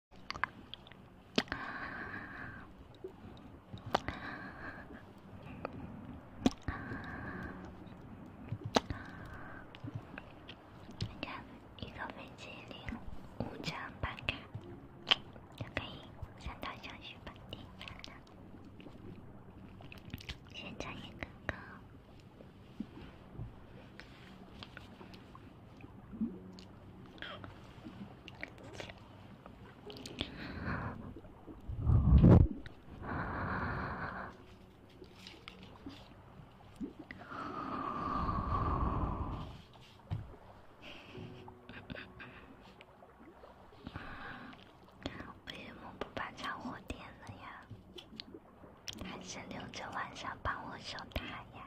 一个一个冰淇淋，五张半卡，它可以三到小时半天的。先唱一个歌。为什么不把家伙点了呀？还先留着晚上帮我守塔呀？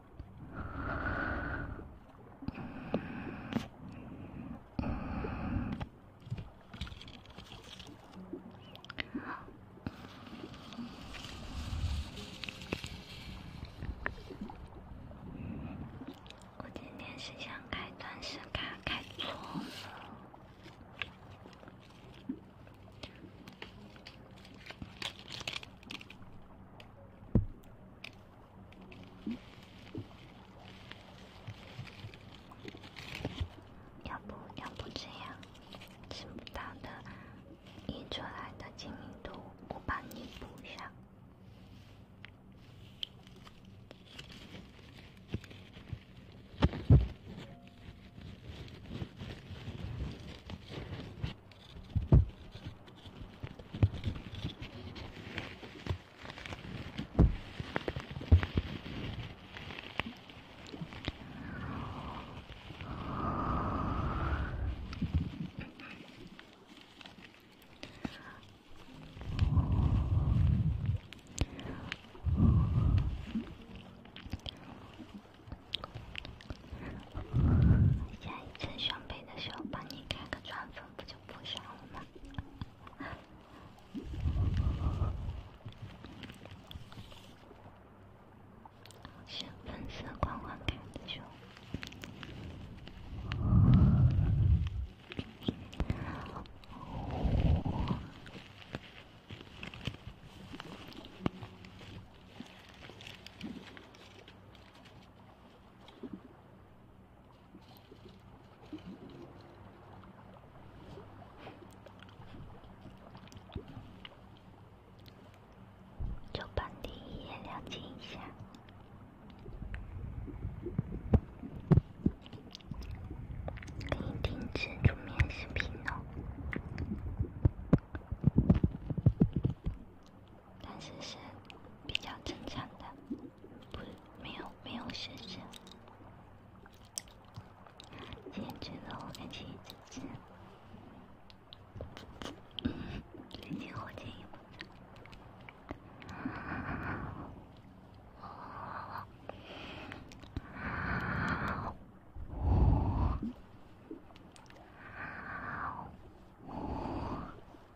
我今天是想开钻石卡，开错了。要不，要不这样，纸张的印出来的清晰度，我帮你补上。下帮你开个窗不就不想了吗？深粉色光光盖子胸。就帮你一键亮机一下，可以停止桌面视频哦。但是是比较正常的，不没有没有事实。天觉得我敢轻易辞职？最近火箭也不在。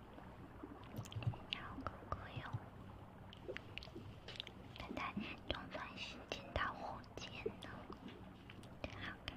小哥哥哟，他在东钻西钻打火箭呢，真好看。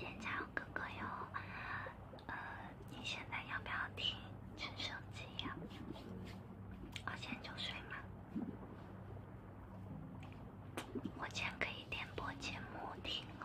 人家哥哥哟，呃，你现在要不要听陈升机呀？我现在就睡嘛。我前可以点播节目听哦。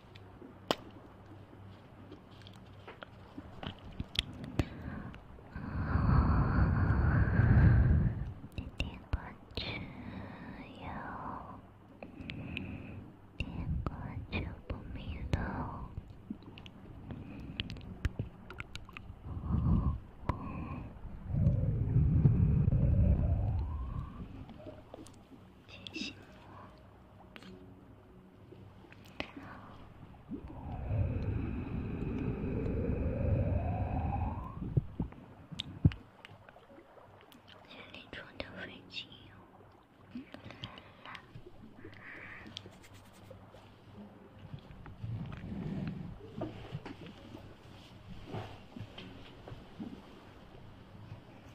天光就要，天光就不明了。小心哦！家里装的飞机哟，来了。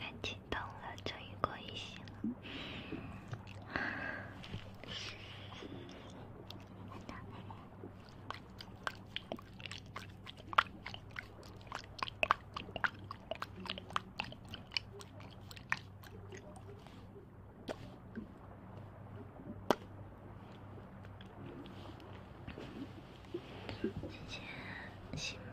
太激动了，终于过一醒了。姐姐，新闻。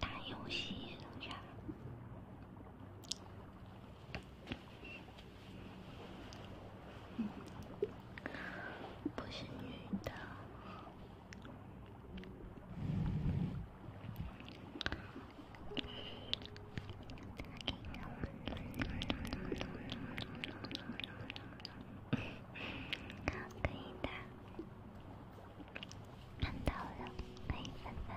打游戏呢？不是女的。可以的，看到了，欢迎凡凡。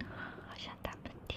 啊！好想打喷嚏。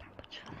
打不出来。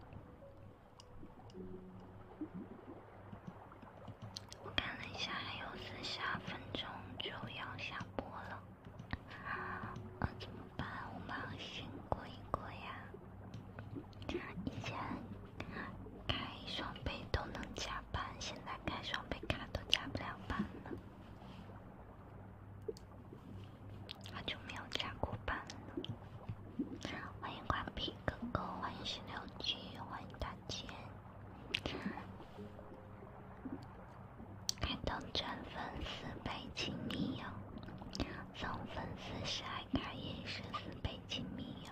我看了一下，还有四十二分钟就要下播了，我怎么办？我冒险过一过呀！以前开双倍都能加班，现在开双倍卡都加不了班了。好久没有加过班了，欢迎瓜皮哥哥，欢迎十六 G，欢迎大姐，开通转粉四倍金币哟，送粉丝十爱卡也是四倍金币哟。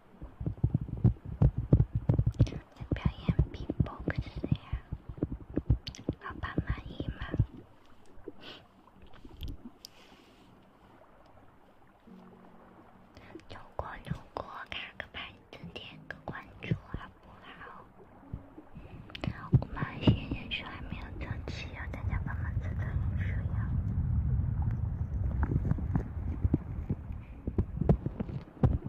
在表演皮博克斯呀，老板满意吗？如果如果开个牌子点个关注好不好？我们一些人数还没有凑齐呀，大家帮忙凑凑人数呀。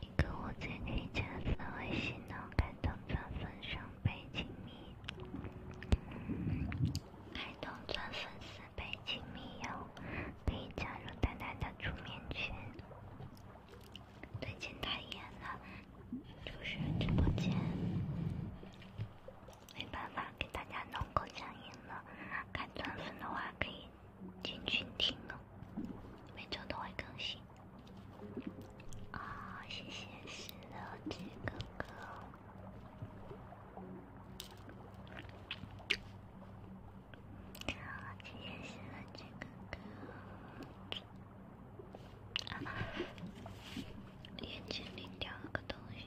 一个，我最近加的微信呢，开通钻粉上倍亲密，开通钻粉四倍亲密哟，可以加入丹丹的出面群。最近太严了，就是直播间。没办法给大家弄口讲音了，看钻粉的话可以进群听呢，每周都会更新。啊，谢谢十六只哥哥，谢谢十六只哥哥，眼睛里掉了个东西。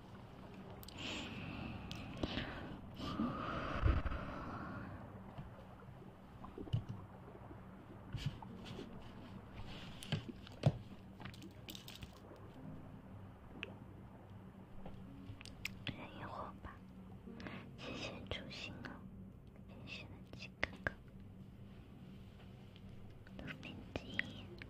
等一会儿吧，谢谢初心哦，谢谢了，七哥哥，六年级。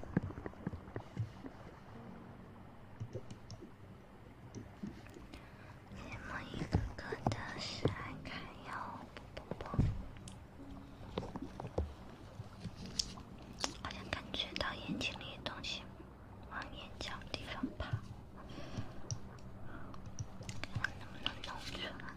你们一个个的闪开哟！不不不，好像感觉到眼睛里东西往眼角地方跑，看能不能弄出来。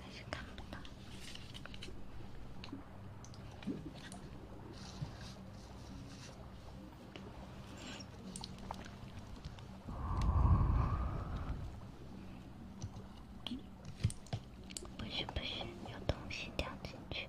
还是看不到。有东西掉进去。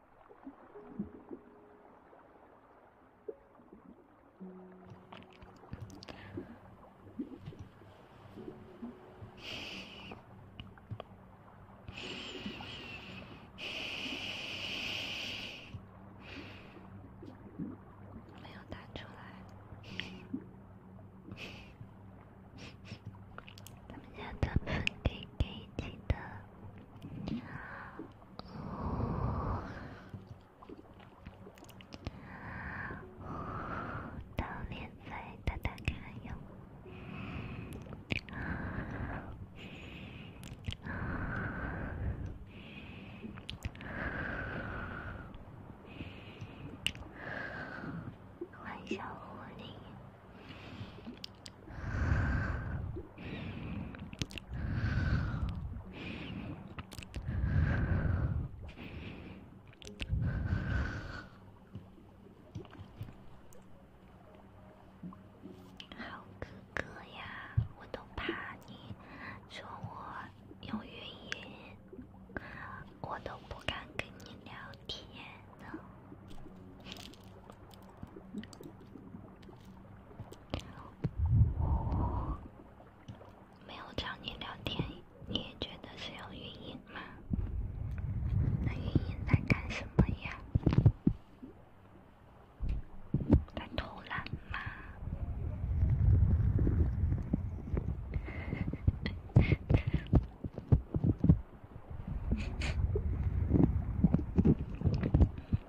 没有打出来。他们家的粉底给几的？你好。哦，到连载，打打看小狐狸。好哥哥呀，我都怕你说我有语音，我都不敢跟你聊天呢。没有找你聊天，你也觉得是有语音吗？那语音在干什么呀？在偷懒吗？我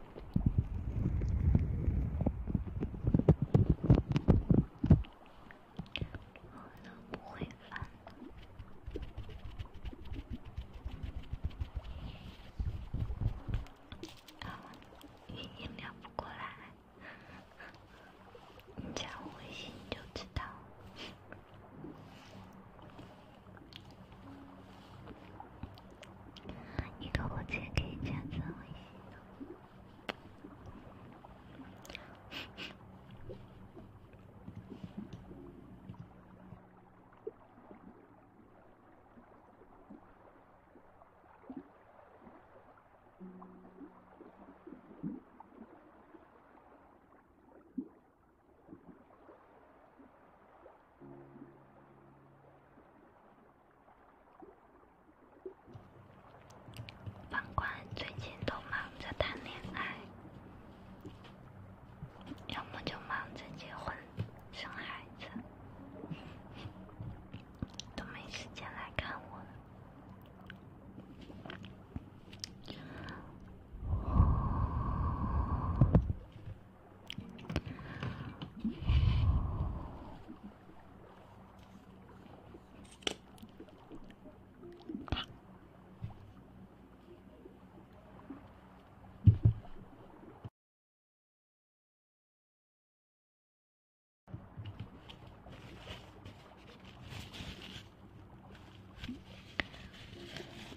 都不会发，啊，语音聊不过来，你加我微信就知道。你给我钱可以这样子吗？反观最近都忙着谈恋爱，要么就忙着结婚、生孩子，都没时间来看我了。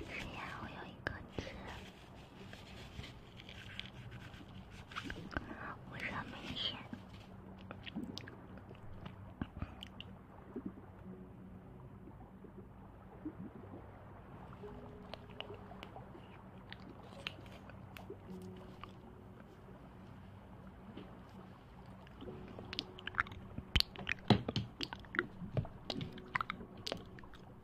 是呀，我有一个字。不是很明显。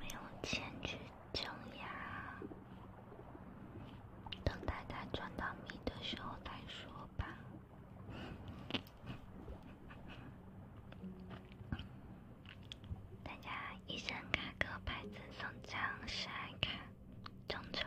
没有钱去整牙，等待他赚到米的时候再说吧。大家一声卡哥，拍赠送张十爱卡，中秋。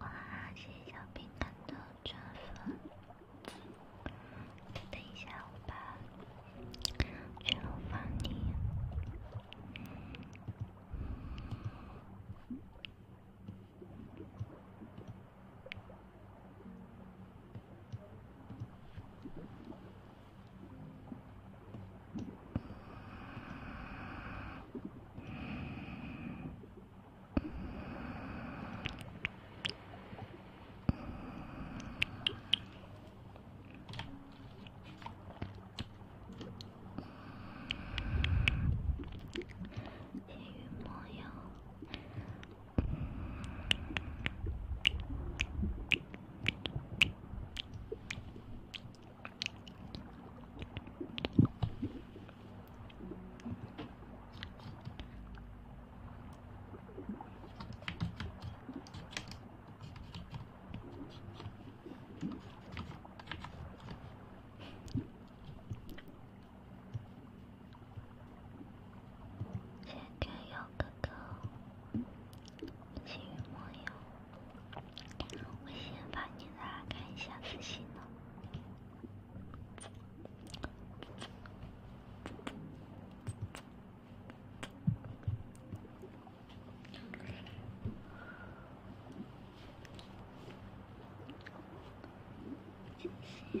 哇，谢谢小饼干的祝福。等一下，我把祝福发你。戒欲莫要。今天有个狗。星宇朋友，我先把你来看一下私信呢。谢谢。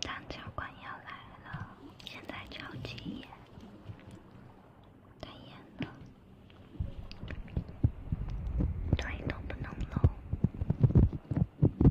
张教官要来了，现在超级严，太严了，对，都不能露。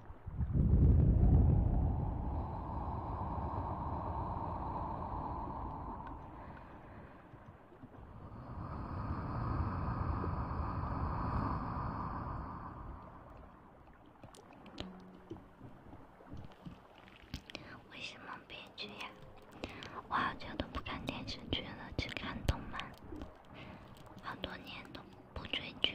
为什么悲剧呀？我好久都不看电视剧了，只看动漫，好多年都不追剧。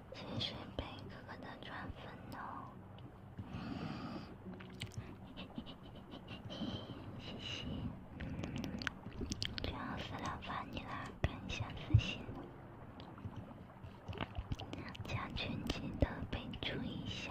谢谢北哥哥的转粉哦，谢谢！主要是麻烦你了，感谢私信，加群记得备注一下。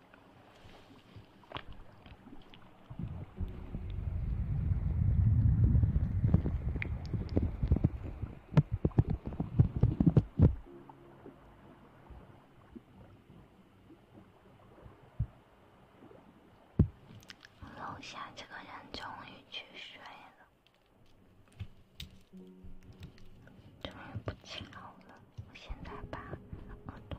楼下这个人终于去睡了，终于不吵了。我现在把耳朵。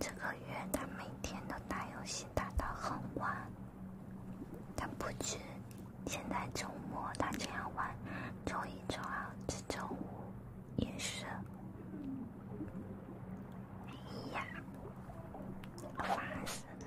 这个月他每天都打游戏打到很晚，他不去。现在周末他这样玩，周一、周二至周五也是，哎呀，烦死了。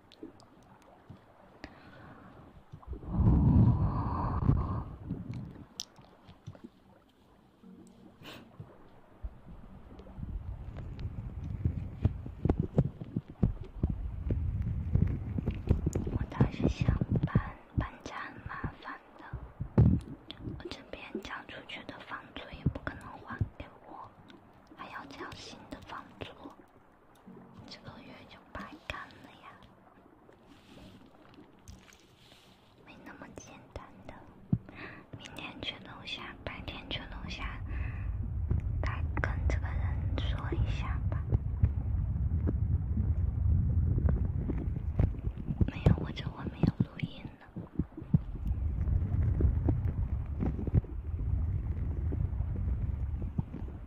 我当时想搬，搬家很麻烦的。我这边交出去的房租也不可能还给我，还要交新的房租。这个月就白干了呀，没那么简单的。明天去龙虾，白天去龙虾，再跟这个人说一下吧。没有，我这会没有录音呢。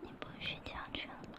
你不睡觉去了吗？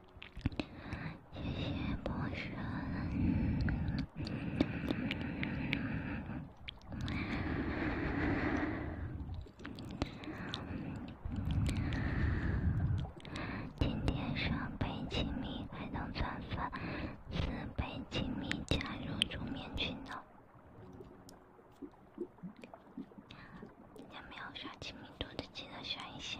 谢谢博士。今天双倍亲密开通钻粉，四倍亲密加入助眠群的。还没有刷亲密度的，记得刷一下。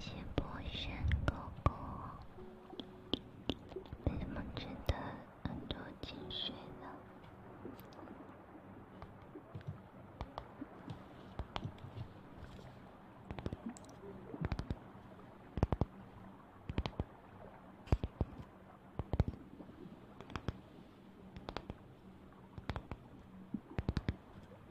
谢博山哥哥，为什么觉得耳朵进水了？